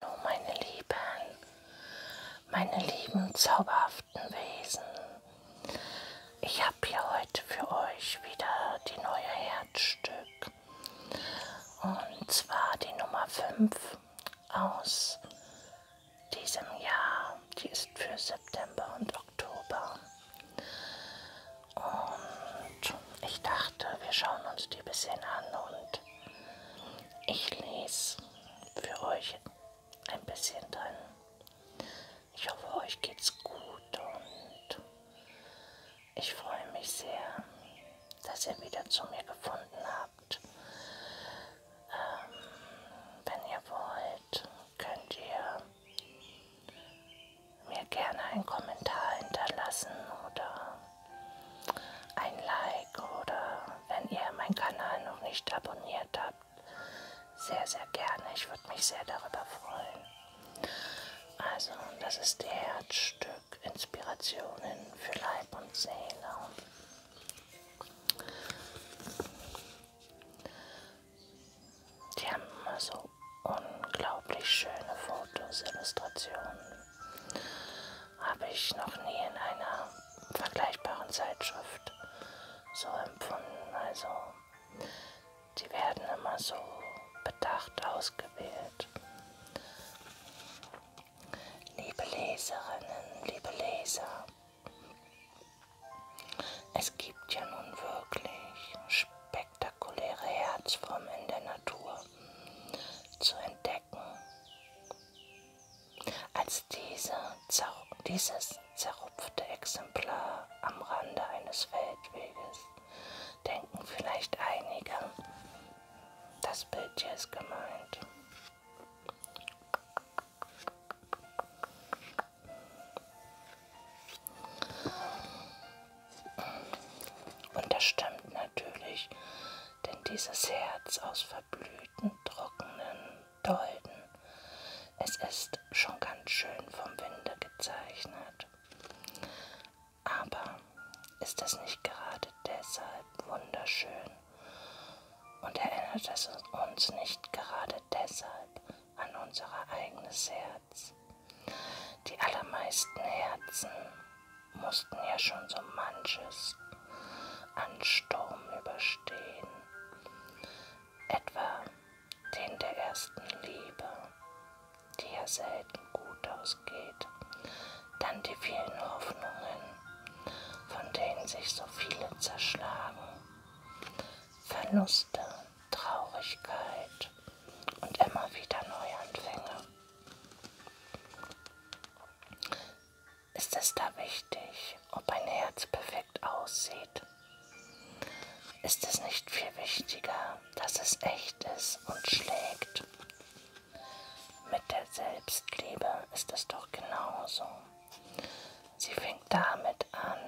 Hallo meine Lieben, meine lieben zauberhaften Wesen. Ich habe hier heute für euch wieder die neue Herzstück. Und zwar die Nummer 5 aus diesem Jahr. Die ist für September und Oktober. Und ich dachte, wir schauen uns die ein bisschen an und ich lese für euch ein bisschen dran. Ich hoffe, euch geht's gut und ich freue mich sehr, dass ihr wieder zu mir gefunden habt. Ähm, wenn ihr wollt, könnt ihr mir gerne einen Kommentar hinterlassen oder ein Like oder wenn ihr meinen Kanal noch nicht abonniert habt, sehr, sehr gerne. Ich würde mich sehr darüber freuen. Also, das ist der Herzstück Inspirationen für Leib und Seele. Die haben immer so unglaublich schöne Fotos, Illustrationen habe ich noch nie in einer vergleichbaren Zeitschrift so empfunden. Also die werden immer so bedacht ausgewählt. Liebe Leserinnen, liebe Leser, es gibt ja nun wirklich spektakuläre Herzformen in der Natur zu entdecken, als diese, dieses zerrupfte Exemplar am Rande eines Feldweges. Denken vielleicht einige, das Bild hier ist gemeint. Und das stimmt ne? natürlich, denn dieses Herz aus verblühten, trockenen Dolden, es ist schon ganz schön vom Winde gezeichnet. Aber ist es nicht gerade deshalb wunderschön und erinnert es uns nicht gerade deshalb an unser eigenes Herz? Die allermeisten Herzen mussten ja schon so manches an Sturm überstehen, etwa den der ersten Liebe, die ja selten gut ausgeht, dann die vielen Hoffnungen, von denen sich so viele zerschlagen, Verluste, Traurigkeit und immer wieder Neuanfänge. Ist es da wichtig, ob ein Herz perfekt aussieht? Ist es nicht viel wichtiger, dass es echt ist und schlägt? Mit der Selbstliebe ist es doch genauso. Sie fängt damit an,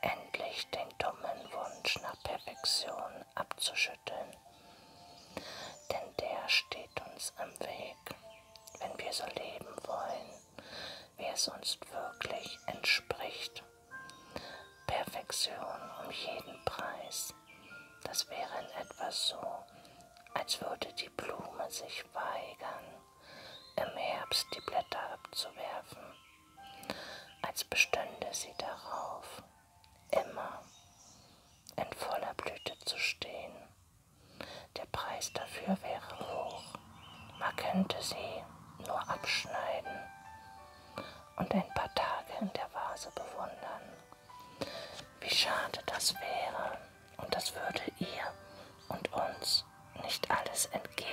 endlich den dummen Wunsch nach Perfektion abzuschütteln schütteln, denn der steht uns im Weg, wenn wir so leben wollen, wie es uns wirklich entspricht. Perfektion um jeden Preis, das wäre in etwa so, als würde die Blume sich weigern, im Herbst die Blätter abzuwerfen, als bestünde sie darauf, immer in voller Blüte zu stehen. Der Preis dafür wäre hoch. Man könnte sie nur abschneiden und ein paar Tage in der Vase bewundern. Wie schade das wäre und das würde ihr und uns nicht alles entgehen.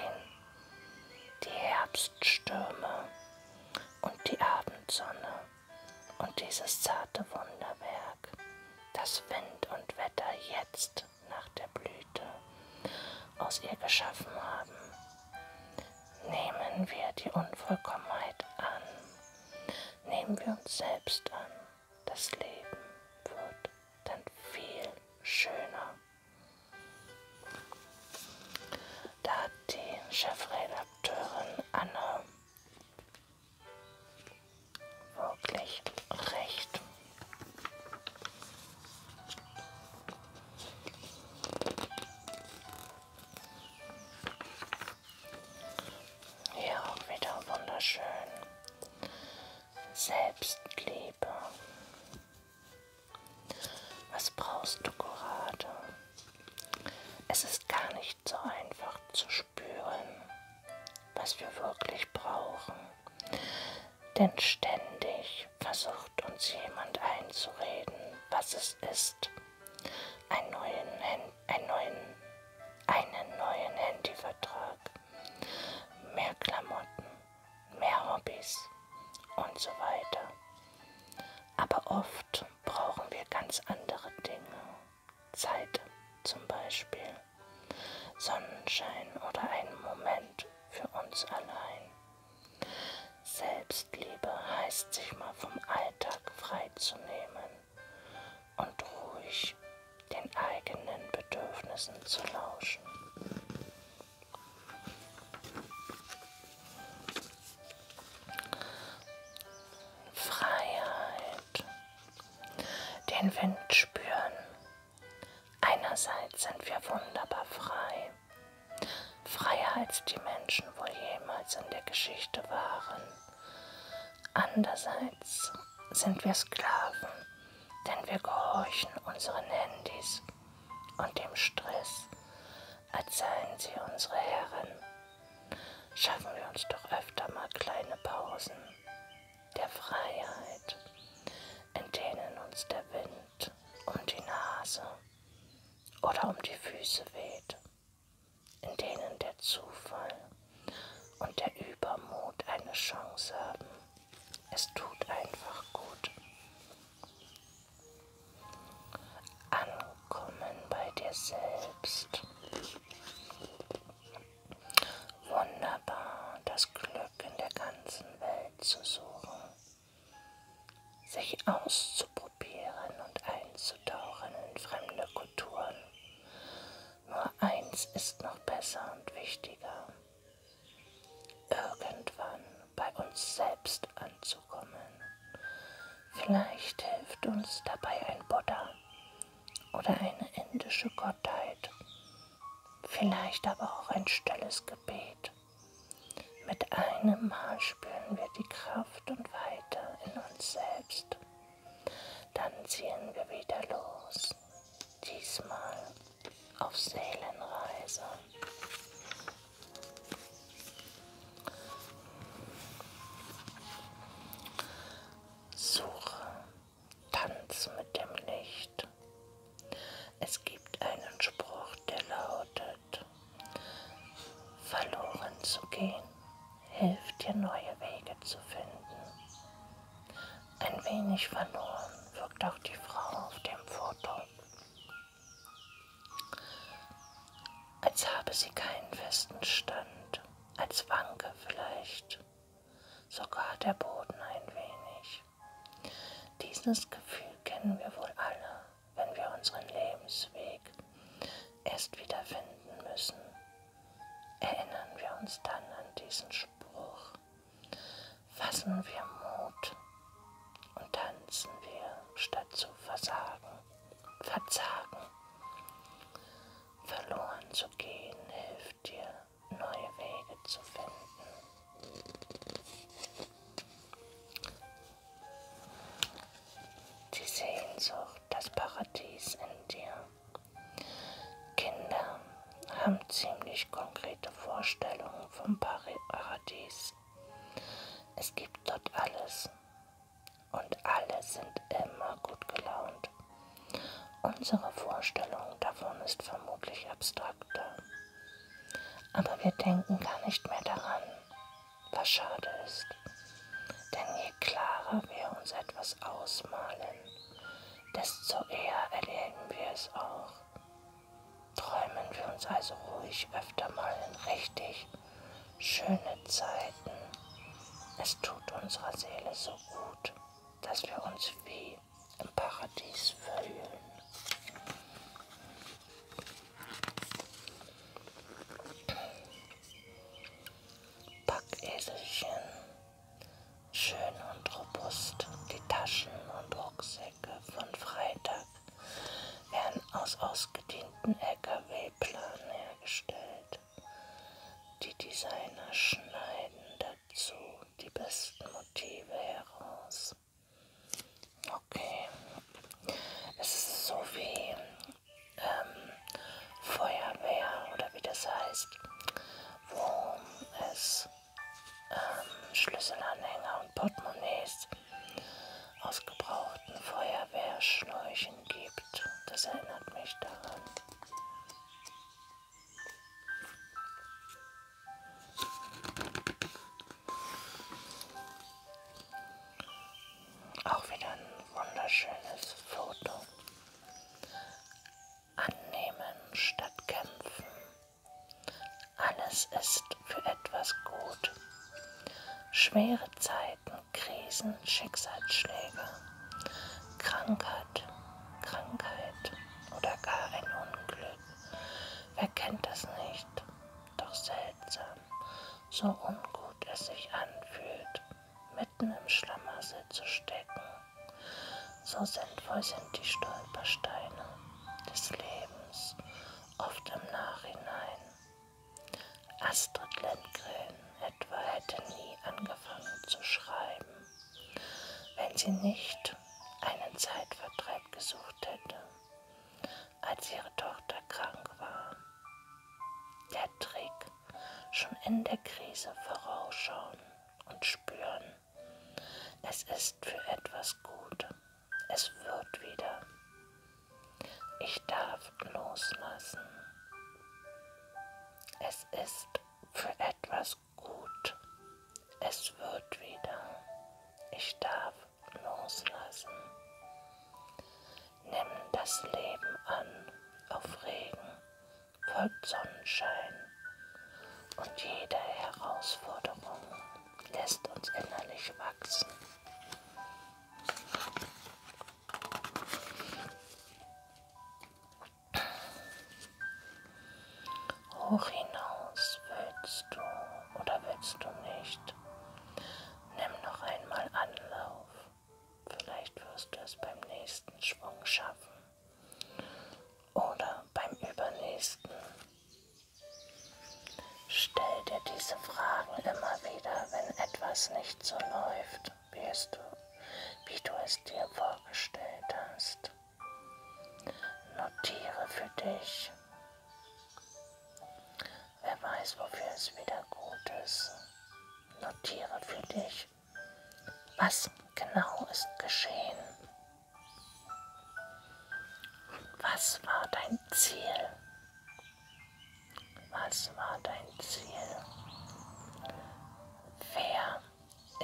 Die Herbststürme und die Abendsonne und dieses zarte Wunderwerk, das Wind und Wetter jetzt nach der Blüte aus ihr geschaffen haben. Nehmen wir die Unvollkommenheit an, nehmen wir uns selbst an, das Leben wird dann viel schöner. Da hat die Chefredakteurin Anne wirklich recht. Hier auch wieder wunderschön. Selbstliebe. Was brauchst du gerade? Es ist gar nicht so einfach zu spüren, was wir wirklich brauchen. Denn ständig versucht uns jemand einzureden, was es ist. Einen neuen, einen neuen, einen neuen Handyvertrag, mehr Klamotten, mehr Hobbys und so weiter. Aber oft brauchen wir ganz andere Dinge. Zeit zum Beispiel, Sonnenschein oder einen Moment für uns allein. Selbstliebe heißt sich mal vom Alltag freizunehmen und ruhig den eigenen Bedürfnissen zu lauschen. Freiheit. Den Wind spüren. Einerseits sind wir wunderbar frei. Freier als die Menschen wohl jemals in der Geschichte waren. Andererseits sind wir Sklaven, denn wir gehorchen unseren Handys und dem Stress, als seien sie unsere Herren. Schaffen wir uns doch öfter mal kleine Pausen der Freiheit, in denen uns der Wind um die Nase oder um die Füße weht, in denen der Zufall und der Übermut eine Chance haben. Es tut einfach gut. Ankommen bei dir selbst. Wunderbar, das Glück in der ganzen Welt zu suchen, sich auszuprobieren und einzutauchen in fremde Kulturen. Nur eins ist noch besser und wichtiger. Irgendwann bei uns selbst anzukommen. Vielleicht hilft uns dabei ein Buddha oder eine indische Gottheit. Vielleicht aber auch ein stilles Gebet. Mit einem Mal spüren wir die Kraft und Weite in uns selbst. Dann ziehen wir wieder los. Diesmal auf Seelenreise. Suche, Tanz mit dem Licht. Es gibt einen Spruch, der lautet, verloren zu gehen hilft dir neue Wege zu finden. Ein wenig verloren wirkt auch die Frau auf dem Foto als habe sie keinen festen Stand, als wanke vielleicht sogar der Boden ein wenig. Dieses Gefühl kennen wir wohl alle, wenn wir unseren Lebensweg erst wiederfinden müssen. Erinnern wir uns dann an diesen Spruch, fassen wir Mut und tanzen wir, statt zu versagen. Verzagen. Verloren zu gehen hilft dir, neue Wege zu finden. Die Sehnsucht, das Paradies in dir. Kinder haben ziemlich konkrete Vorstellungen vom Paradies. Es gibt dort alles und alle sind immer gut gelaunt. Unsere Vorstellung davon ist vermutlich abstrakter, aber wir denken gar nicht mehr daran, was schade ist. Denn je klarer wir uns etwas ausmalen, desto eher erleben wir es auch träumen wir uns also ruhig öfter mal in richtig schöne Zeiten. Es tut unserer Seele so gut, dass wir uns wie im Paradies fühlen. Packeselchen, schön und robust, die Taschen und Rucksäcke von Freitag werden aus ausgedienten LKW-Planen hergestellt. Die Designer schneiden dazu die besten Motive heraus. Okay, es ist so wie ähm, Feuerwehr oder wie das heißt, wo es ähm, Schlüsselanhänger und Portemonnaies aus gebrauchten Feuerwehrschläuchen gibt. Das erinnert mich daran. Auch wieder ein wunderschönes Foto. Annehmen statt kämpfen. Alles ist für etwas gut. Schwere Zeiten, Krisen, Schicksalsschläge, Krankheit, Krankheit oder gar ein Unglück. Wer kennt das nicht? Doch seltsam, so ungut es sich anfühlt, mitten im Schlamassel zu stecken. So sinnvoll sind die Stolpersteine des Lebens oft im Nachhinein. Astrid Lindgren etwa hätte nie angefangen zu schreiben, wenn sie nicht einen Zeitvertreib gesucht hätte, als ihre Tochter krank war. Der Trick, schon in der Krise vorausschauen und spüren, es ist für etwas gut. Es wird wieder. Ich darf loslassen. Es ist für etwas gut. Es wird wieder. Ich darf loslassen. Nimm das Leben an auf Regen, voll Sonnenschein und jede Herausforderung lässt uns innerlich wachsen. Hoch hinaus willst du oder willst du nicht? Nimm noch einmal Anlauf. Vielleicht wirst du es beim nächsten Schwung schaffen oder beim übernächsten. Stell dir diese Fragen immer wieder, wenn etwas nicht so läuft, wie, es du, wie du es dir vorgestellt hast. Notiere für dich. Wer weiß, wofür es wieder gut ist. Notiere für dich, was genau ist geschehen. Was war dein Ziel? Was war dein Ziel? Wer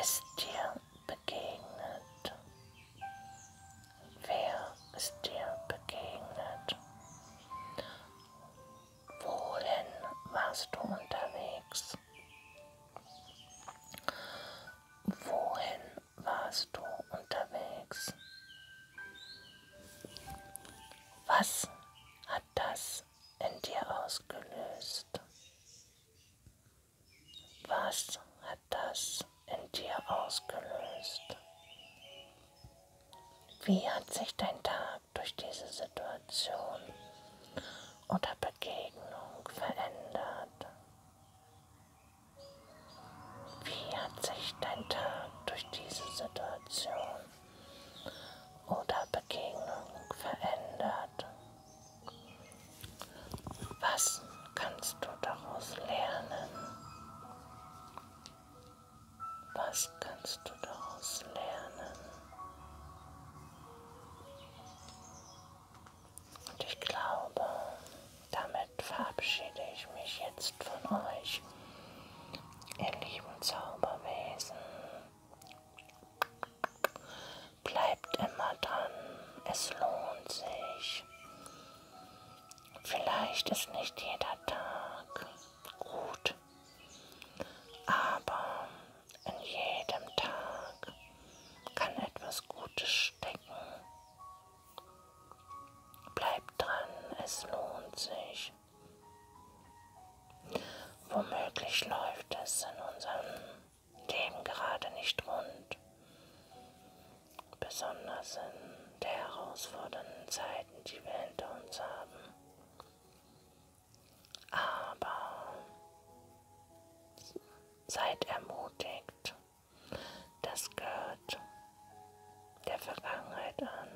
ist dir begegnet? Wer ist dir begegnet? Wohin warst du unterwegs? Wohin warst du unterwegs? Was hat das in dir ausgelöst? Was hat das in dir ausgelöst? Wie hat sich dein Tag durch diese Situation oder Begegnung verändert? Wie hat sich dein Tag durch diese Situation oder Begegnung verändert? Was kannst du daraus lernen? Was kannst du daraus lernen? Und ich glaube, damit verabschiede ich mich jetzt von euch, ihr lieben Zauberwesen. Bleibt immer dran, es lohnt sich. Vielleicht ist nicht jeder Tag gut, aber in jedem Tag kann etwas Gutes stecken. Bleibt dran, es lohnt sich. Womöglich läuft es in unserem Leben gerade nicht rund, besonders in der herausfordernden Zeiten, die wir hinter uns haben. Aber seid ermutigt das gehört der Vergangenheit an.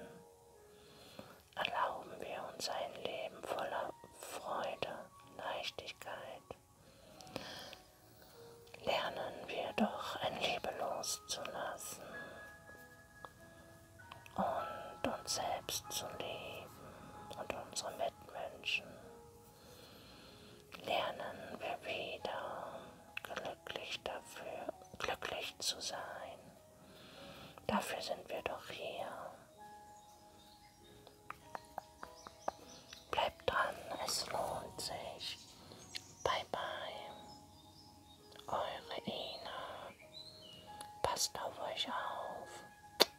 Erlauben wir uns ein Leben voller Freude, Leichtigkeit. Lernen wir doch ein Liebe loszulassen und uns selbst zu lieben und unsere Mitmenschen. Lernen wir wieder, glücklich, dafür, glücklich zu sein. Dafür sind wir doch hier. Bleibt dran, es lohnt sich. Bye bye. Eure Ina. Passt auf euch auf.